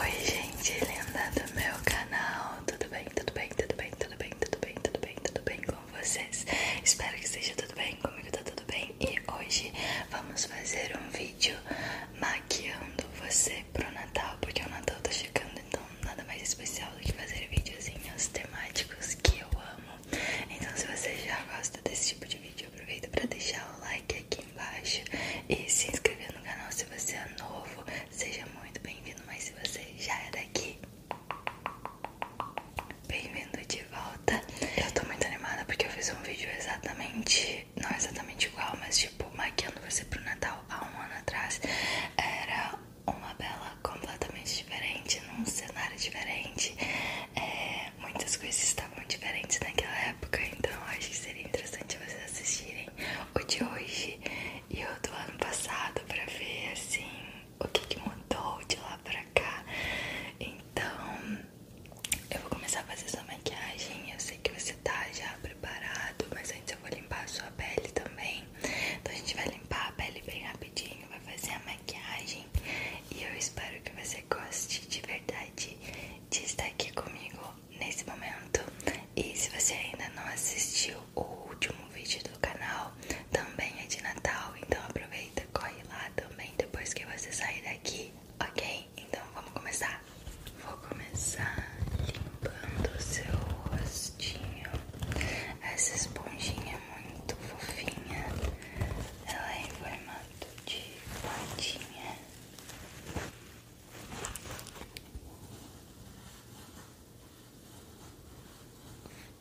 Oi gente linda do meu canal, tudo bem, tudo bem, tudo bem, tudo bem, tudo bem, tudo bem, tudo bem com vocês? Espero que esteja tudo bem, comigo tá tudo bem e hoje vamos fazer um vídeo maquiando você pro Natal, porque o Natal tá chegando, então nada mais especial do que fazer videozinhos temáticos que eu amo. Então se você já gosta desse tipo de vídeo, aproveita para deixar o like aqui embaixo e se inscrever no canal se você é novo. Seja muito bem-vindo, mas se você já é daqui, bem-vindo de volta. Eu tô muito animada porque eu fiz um vídeo exatamente, não exatamente igual, mas tipo, maquiando você pro Natal há um ano atrás. Era uma bela completamente diferente, num cenário diferente. É, muitas coisas estavam tá diferentes naquela época, então acho que seria interessante vocês assistirem o de hoje e o do ano passado pra ver assim o que, que mudou de lá pra cá. Então eu vou começar a fazer sua maquiagem. Eu sei que você tá já preparado, mas antes eu vou limpar a sua pele também. Então a gente vai limpar a pele bem rapidinho, vai fazer a maquiagem e eu espero que você goste de verdade de estar aqui comigo nesse momento. E se você ainda não assistiu o último vídeo do canal, também é de Natal, então aproveita, corre lá também depois que você sair daqui, ok? Então vamos começar. Vou começar limpando o seu rostinho. Essa esponjinha é muito fofinha, ela é em formato de plantinha.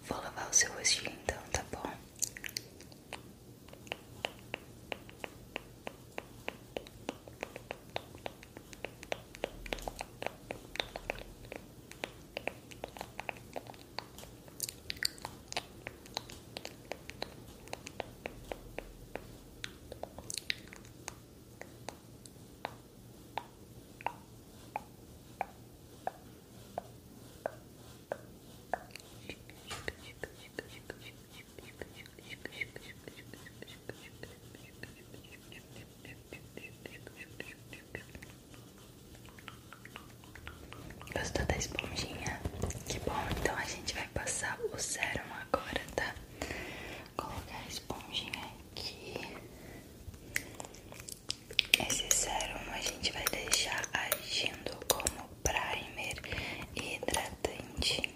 Vou lavar o seu rostinho então, tá bom? Gostou da esponjinha? Que bom, então a gente vai passar o sérum agora, tá? Colocar esponjinha aqui. É Esse sérum a gente vai deixar agindo como primer hidratante.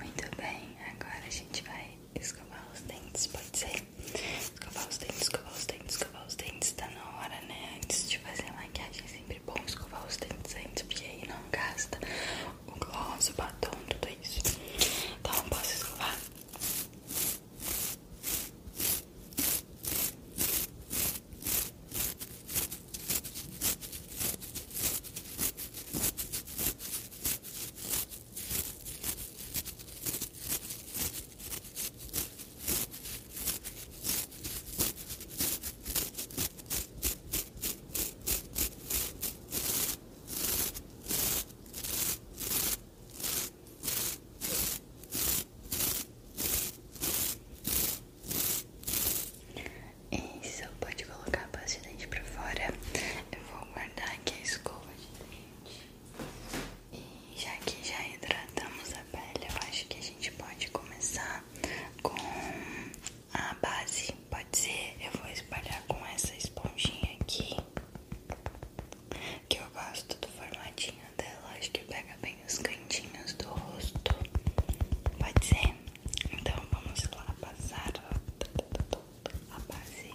Muito bem, agora a gente vai escovar os dentes, pode ser? Escovar os dentes, escovar os dentes, escovar os dentes, tá na hora, né? Antes de fazer a maquiagem é sempre bom escovar os dentes antes, porque aí não gasta o gloss, o batom, tudo isso. Então, posso escovar? Tá isso, pode colocar a pasta de dente pra fora. Eu vou guardar aqui a escova de dente. E já que já hidratamos a pele, eu acho que a gente pode começar com a base. Pode ser? Eu vou espalhar com essa esponjinha aqui, que eu gosto do formatinho dela, acho que pega bem os cantinhos do rosto. Pode ser? Então vamos lá passar a base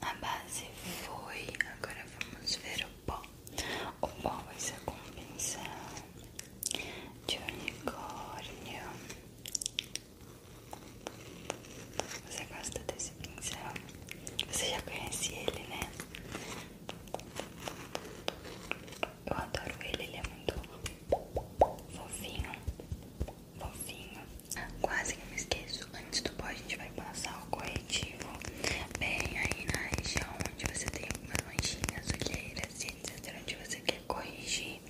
A base foi, agora vamos ver o pó. O pó vai ser com pincel de unicórnio. Você gosta desse pincel? Você já conhece ele, né? Eu adoro ele, ele é muito fofinho, fofinho. Quase que me esqueço. Antes do pó, a gente vai passar o corretivo bem aí na região onde você tem algumas manchinhas, olheiras e etc. Onde você quer corrigir.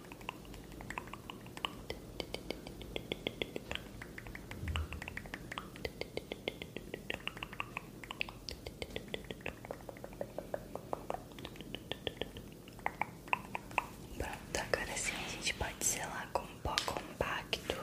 Pronto, agora sim a gente pode selar com pó compacto.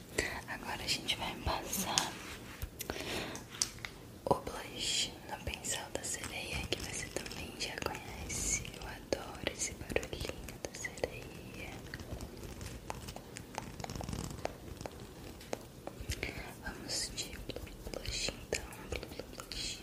Agora a gente vai passar o blush no pincel da sereia que você também já conhece. Eu adoro esse barulhinho da sereia. Vamos de blush então. Blush. Blush.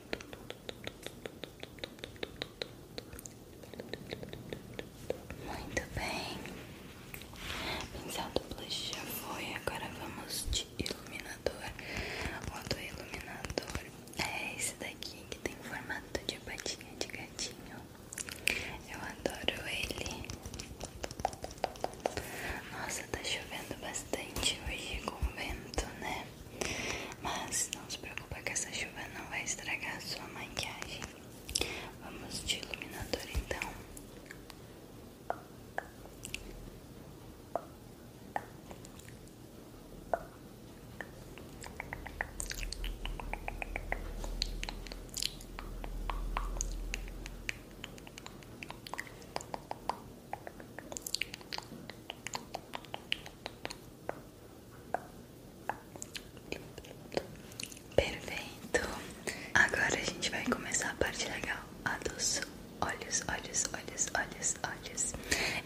Muito bem. Pincel então, do blush já foi. Agora vamos de iluminador. O do iluminador é esse daqui que tem formato de patinha de gatinho. Eu adoro ele. Nossa, tá chovendo bastante hoje com vento, né? Mas não se preocupe que essa chuva não vai estragar sua maquiagem. Vamos de iluminador então. Perfeito. Agora a gente vai começar a parte legal, a dos olhos, olhos, olhos, olhos, olhos.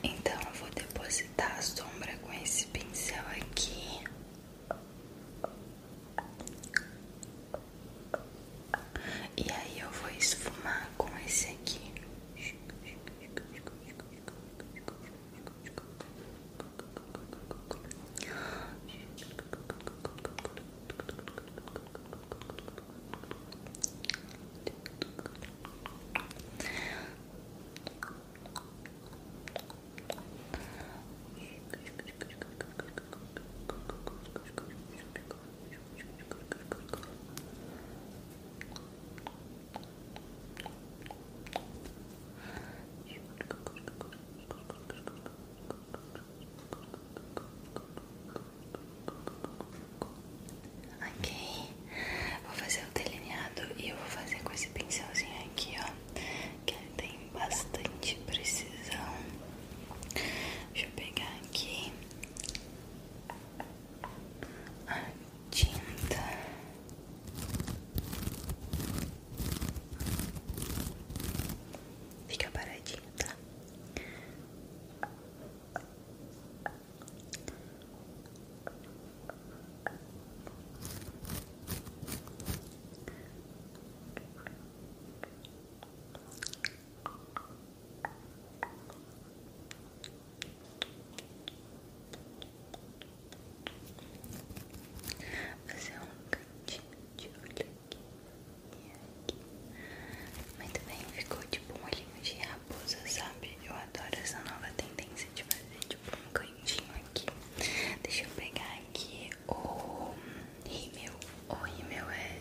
Então eu vou depositar a sombra com esse pincel aqui. E aí eu vou esfumar com esse aqui. Ok, vou fazer o delineado e eu vou fazer com esse pincelzinho aqui, ó, que tem bastante precisão. Deixa eu pegar aqui a tinta fica paradinho, tá? Tá Fazer um cantinho de olho aqui e aqui. Muito bem, ficou tipo um olhinho de raposa, sabe? Eu adoro essa nova tendência de fazer tipo um cantinho aqui. Deixa eu pegar aqui o rímel. O rímel é.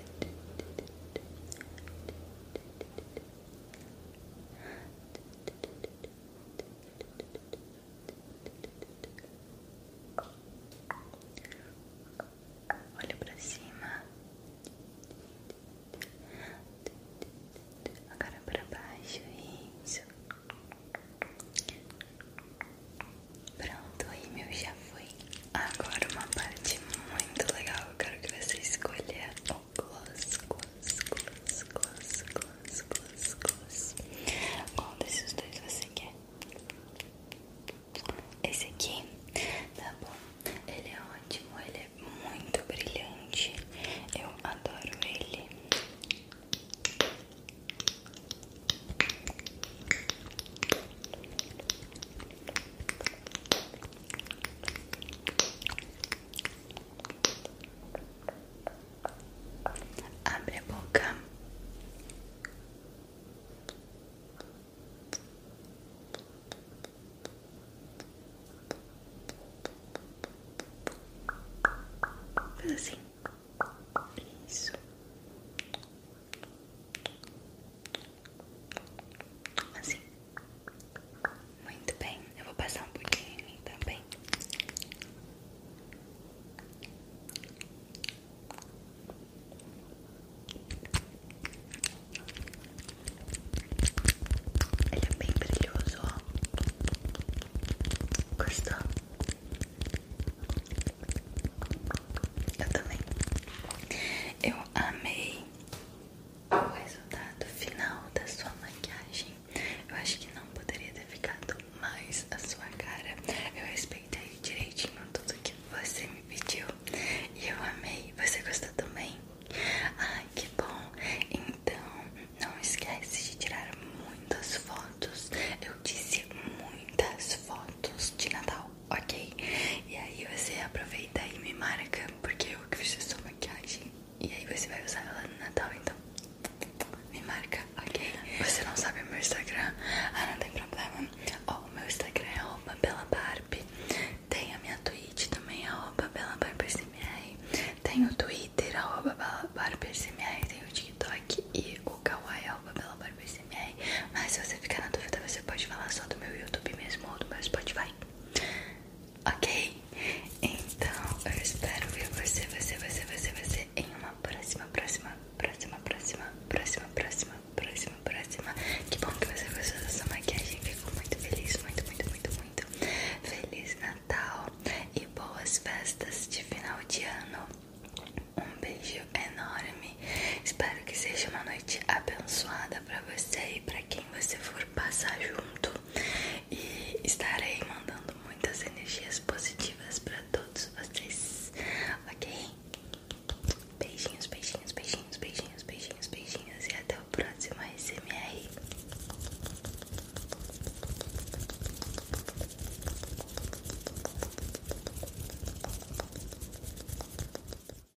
Olha pra cima, agora pra baixo, isso. Pronto, e meu já foi. Agora uma parte muito legal. Eu quero que você escolha o gloss, gloss, gloss, gloss, gloss, gloss, gloss. Qual desses dois você quer? Esse aqui? Tá bom. Ele é ótimo, ele é muito brilhante. Eu adoro ele. Abre a boca. Faz assim. Isso. Assim. Muito bem. Eu vou passar um pouquinho em mim também. Ele é bem brilhoso, ó. Gostou? Eu também. Eu amei o resultado final da sua maquiagem. Eu acho que não poderia ter ficado mais a sua cara. Eu respeitei direitinho tudo que você me pediu e eu amei. Você gostou também? ah que bom! Então, não esquece de tirar muitas fotos. Eu disse muitas fotos de Natal ok? E aí você aproveita e me marca, porque eu fiz essa maquiagem. E aí você vai usar ela no Natal, então me marca, ok? Você não sabe o meu Instagram? Ah, não tem problema. Ó, o meu Instagram é arroba Tenho a minha Twitch também, arroba Tenho o Twitter, arroba Tenho o TikTok e o kawaii, arroba Mas se você ficar na dúvida, você pode falar só do meu YouTube mesmo ou do meu Spotify. Ok? Então eu espero ver você, você, você, você, você em uma próxima, próxima, próxima, próxima, próxima, próxima, próxima, próxima. Que bom que você gostou dessa maquiagem. Fico muito feliz, muito, muito, muito, muito. Feliz Natal e boas festas de final de ano. Um beijo enorme. Espero que seja uma noite abençoada pra você e pra quem quem você for passar junto e estarei mandando muitas energias positivas para todos vocês, ok? Beijinhos, beijinhos, beijinhos, beijinhos, beijinhos, beijinhos e até o próximo SMR.